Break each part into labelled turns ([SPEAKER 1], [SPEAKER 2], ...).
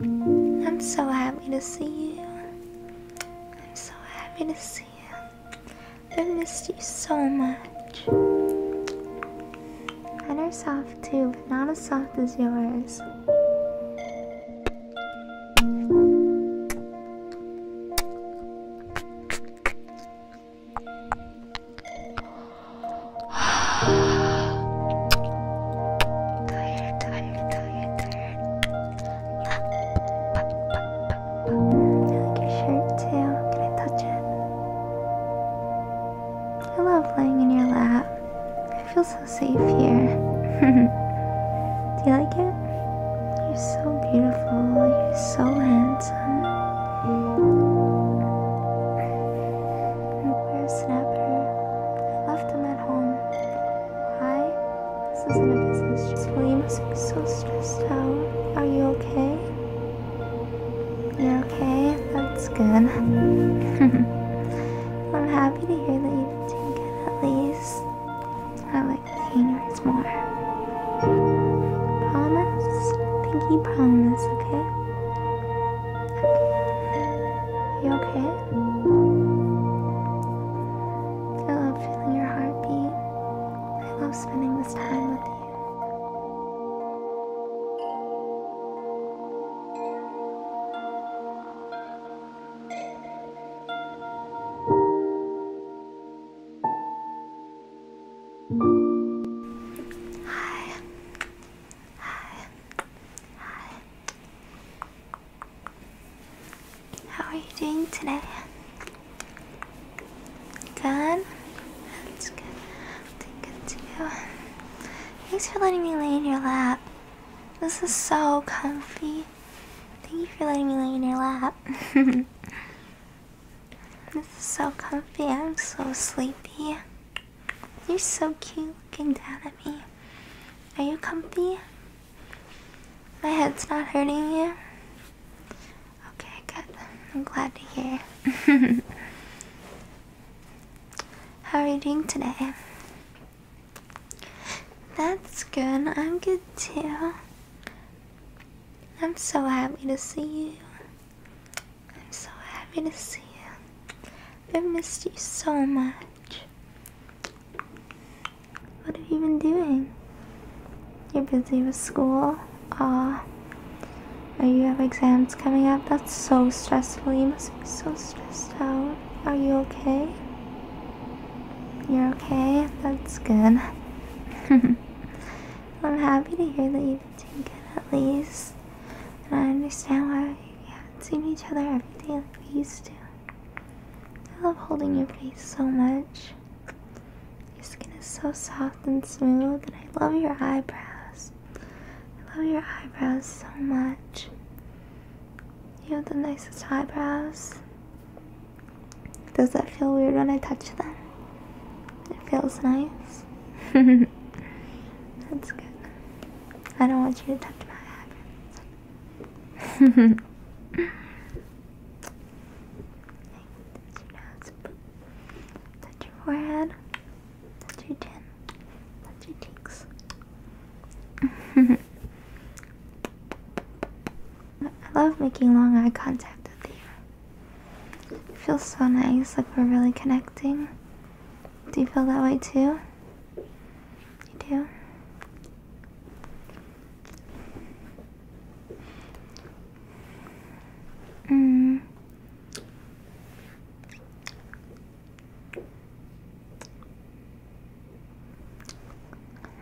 [SPEAKER 1] I'm so happy to see you. I'm so happy to see you. I missed you so much. And are soft too, but not as soft as yours. I like your shirt too. Can I touch it? I love laying in your lap. I feel so safe here. Do you like it? You're so beautiful. You're so handsome. Where's whippersnapper. I left him at home. Why? This isn't a business. Well, you must be so stressed out. Are you okay? You're okay? That's good. I'm happy to hear that you've taken it at least. I like seeing yours more. Promise? Pinky promise, okay? You okay? I love feeling your heartbeat. I love spending this time with you. Hi. Hi. Hi. How are you doing today? Good? That's good. Good to Thanks for letting me lay in your lap. This is so comfy. Thank you for letting me lay in your lap. this is so comfy. I'm so sleepy. You're so cute looking down at me. Are you comfy? My head's not hurting you? Okay, good. I'm glad to hear. How are you doing today? That's good. I'm good too. I'm so happy to see you. I'm so happy to see you. I've missed you so much. What have you been doing? You're busy with school? Aw. Oh, you have exams coming up? That's so stressful. You must be so stressed out. Are you okay? You're okay? That's good. I'm happy to hear that you've been doing good at least. And I understand why you seeing each other every day like we used to. I love holding your face so much. Your skin is so soft and smooth, and I love your eyebrows. I love your eyebrows so much. You have the nicest eyebrows. Does that feel weird when I touch them? It feels nice. That's good. I don't want you to touch my hair. touch your Touch your forehead. Touch your chin. Touch your cheeks. I love making long eye contact with you. It feels so nice, like we're really connecting. Do you feel that way too? You do? Mm.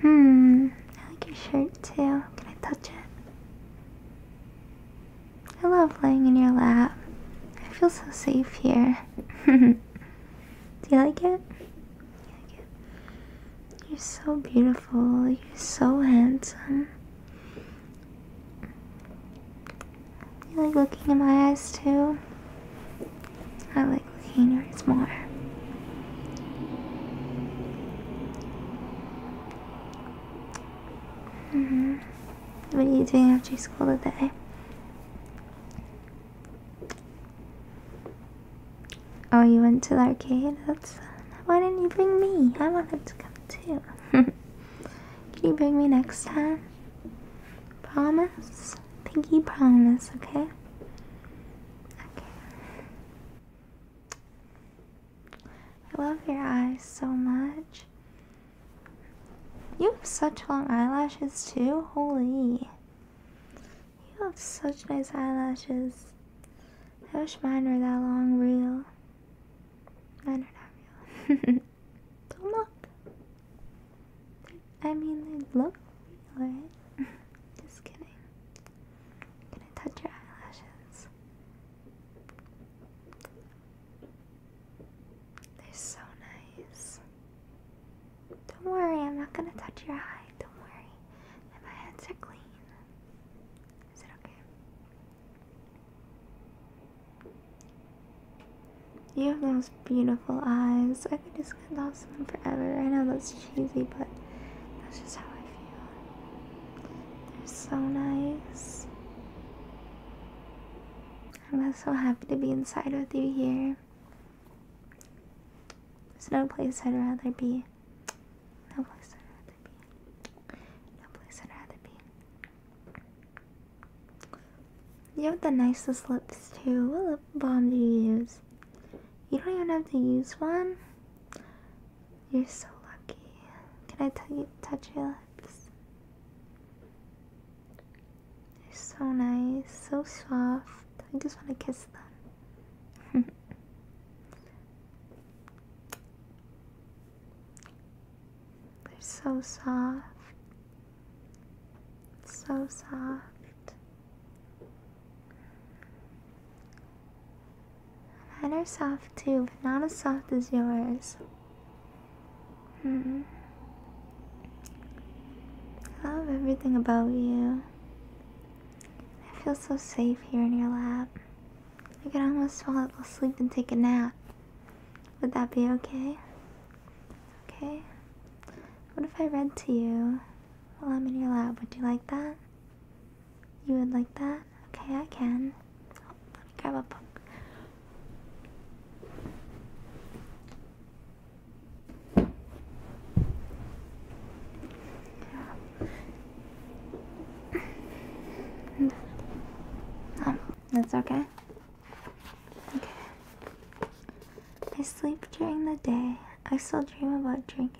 [SPEAKER 1] Hmm. I like your shirt too. Can I touch it? I love laying in your lap. I feel so safe here. Do you like it? You are so beautiful. You're so handsome. You like looking in my eyes too? I like looking at yours more. -hmm. What are you doing after school today? Oh, you went to the arcade? That's why didn't you bring me? I wanted to come too. Can you bring me next time? Promise? Pinky promise, okay? Okay. I love your eyes so much. You have such long eyelashes too? Holy. You have such nice eyelashes. I wish mine were that long real. Mine are not real. Don't look. I mean, they look real, Just kidding. gonna touch your eyelashes. They're so nice. Don't worry, I'm not gonna touch your eye. Don't worry. my hands are clean. Is it okay? You have those beautiful eyes. I could just get lost in them forever. I know that's cheesy, but that's just how I feel. They're so nice. I'm so happy to be inside with you here. There's no place I'd rather be. No place I'd rather be. No place I'd rather be. You have the nicest lips too. What lip balm do you use? You don't even have to use one. You're so lucky. Can I touch your lips? They're so nice, so soft. I just want to kiss them. They're so soft. So soft. Mine are soft too, but not as soft as yours. Mm. I love everything about you. I feel so safe here in your lap. I could almost fall asleep and take a nap. Would that be okay? Okay. What if I read to you while I'm in your lap? Would you like that? You would like that? Okay, I can have a book. that's Okay. I sleep during the day. I still dream about drinking.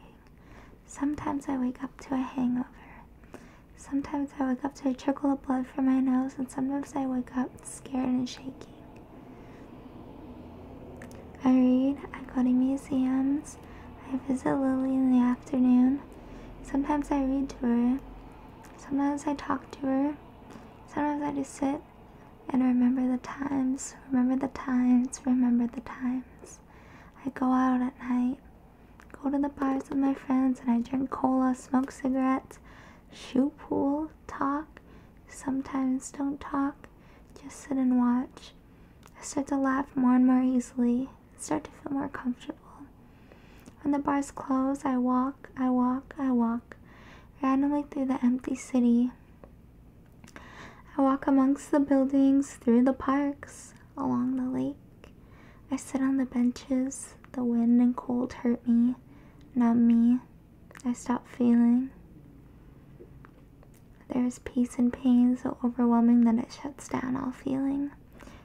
[SPEAKER 1] Sometimes I wake up to a hangover. Sometimes I wake up to a trickle of blood from my nose, and sometimes I wake up scared and shaking. I read, I go to museums, I visit Lily in the afternoon. Sometimes I read to her, sometimes I talk to her, sometimes I just sit and remember the times, remember the times, remember the times. I go out at night, go to the bars with my friends, and I drink cola, smoke cigarettes, shoe pool, talk, sometimes don't talk, just sit and watch. I start to laugh more and more easily, start to feel more comfortable. When the bars close, I walk, I walk, I walk, randomly through the empty city. I walk amongst the buildings, through the parks, along the lake. I sit on the benches, the wind and cold hurt me, numb me. I stop feeling. There is peace in pain so overwhelming that it shuts down all feeling.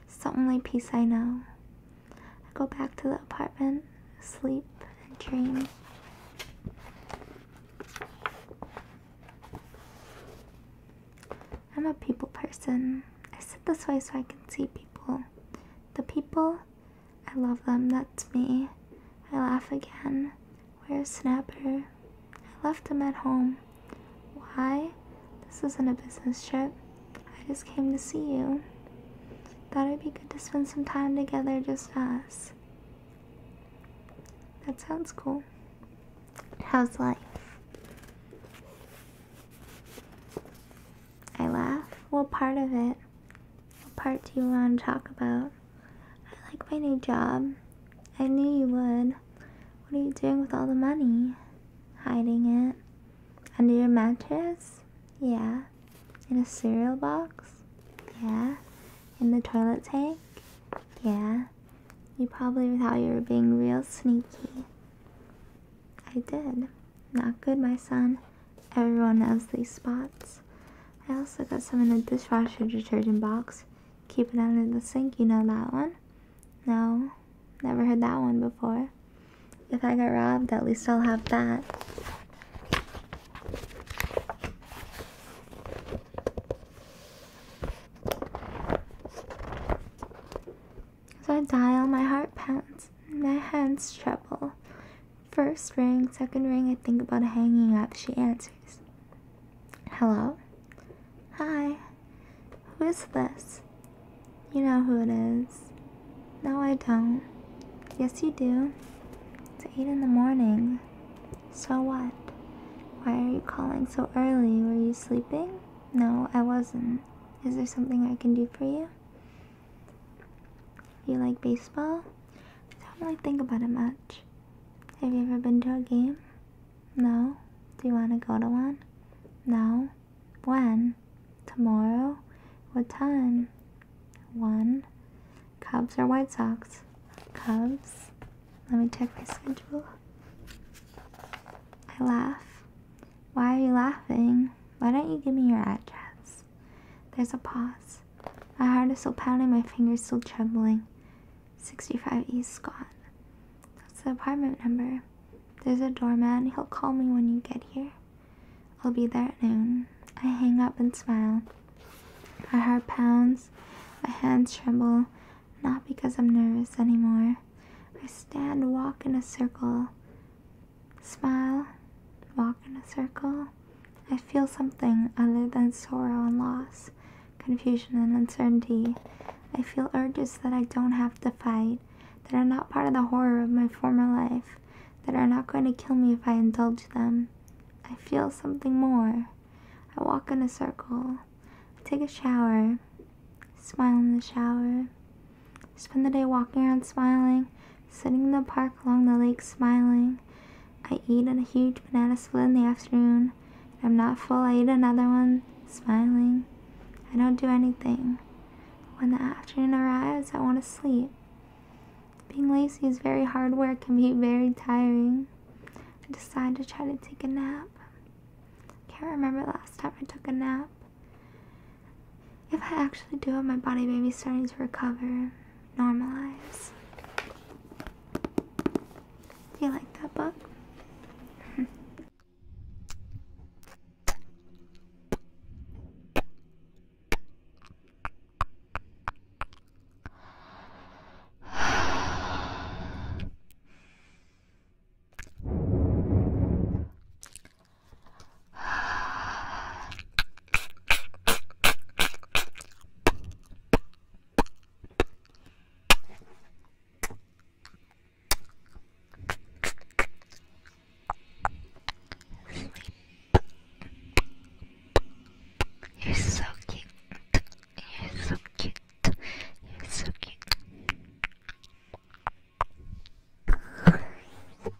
[SPEAKER 1] It's the only peace I know. I go back to the apartment, sleep, and dream. I'm a people person. I sit this way so I can see people. The people I love them, that's me. I laugh again. Where's Snapper? I left him at home. Why? This isn't a business trip. I just came to see you. Thought it'd be good to spend some time together, just us. That sounds cool. How's life? I laugh. What part of it? What part do you want to talk about? I like my new job. I knew you would. What are you doing with all the money? Hiding it. Under your mattress? Yeah. In a cereal box? Yeah. In the toilet tank? Yeah. You probably thought you were being real sneaky. I did. Not good, my son. Everyone has these spots. I also got some in the dishwasher detergent box. Keep it under the sink, you know that one? No, never heard that one before. If I get robbed, at least I'll have that. As I dial, my heart pounds, my hands tremble. First ring, second ring, I think about hanging up. She answers. Hello? Hi. Who is this? You know who it is. No, I don't. Yes, you do. It's 8 in the morning. So what? Why are you calling so early? Were you sleeping? No, I wasn't. Is there something I can do for you? You like baseball? I don't really think about it much. Have you ever been to a game? No. Do you want to go to one? No. When? Tomorrow? What time? One. Cubs or White Sox? Cubs. Let me check my schedule. I laugh. Why are you laughing? Why don't you give me your address? There's a pause. My heart is still pounding, my fingers still trembling. 65 East Scott. That's the apartment number. There's a doorman. He'll call me when you get here. I'll be there at noon. I hang up and smile. My heart pounds. My hands tremble. Not because I'm nervous anymore. I stand, walk in a circle. Smile, walk in a circle. I feel something other than sorrow and loss, confusion and uncertainty. I feel urges that I don't have to fight, that are not part of the horror of my former life, that are not going to kill me if I indulge them. I feel something more. I walk in a circle. take a shower. Smile in the shower. Spend the day walking around smiling, sitting in the park along the lake smiling. I eat a huge banana split in the afternoon. I'm not full, I eat another one, smiling. I don't do anything. When the afternoon arrives, I want to sleep. Being lazy is very hard work Can be very tiring. I decide to try to take a nap. can't remember last time I took a nap. If I actually do it, my body may be starting to recover, normalize. Do you like that book? Sleep. You're so cute. You're so cute. You're so cute.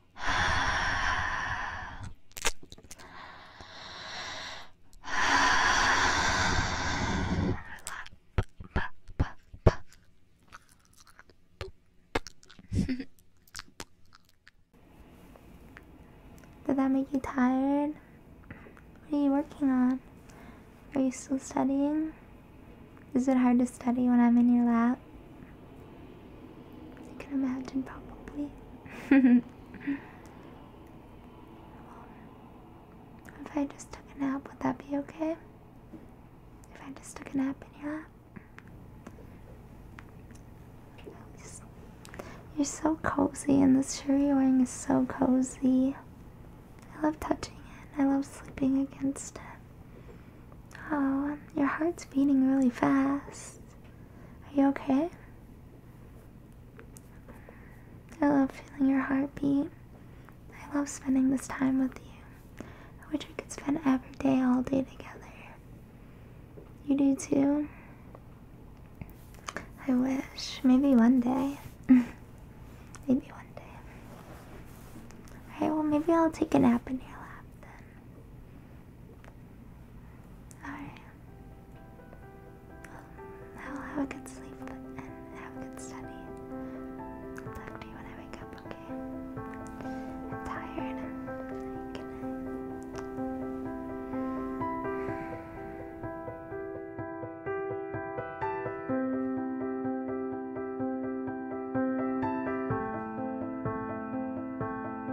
[SPEAKER 1] Did that make you tired? What are you working on? Are you still studying? Is it hard to study when I'm in your lap? As you can imagine, probably. If I just took a nap, would that be okay? If I just took a nap in your lap? You're so cozy, and this shirt you're wearing is so cozy. I love touching it, I love sleeping against it. Oh, your heart's beating really fast. Are you okay? I love feeling your heartbeat. I love spending this time with you. I wish we could spend every day, all day together. You do too? I wish. Maybe one day. maybe one day. Alright, well, maybe I'll take a nap in your lap then. Alright. I will have a good sleep and have a good study. talk to you when I wake up, okay? am tired. Good night.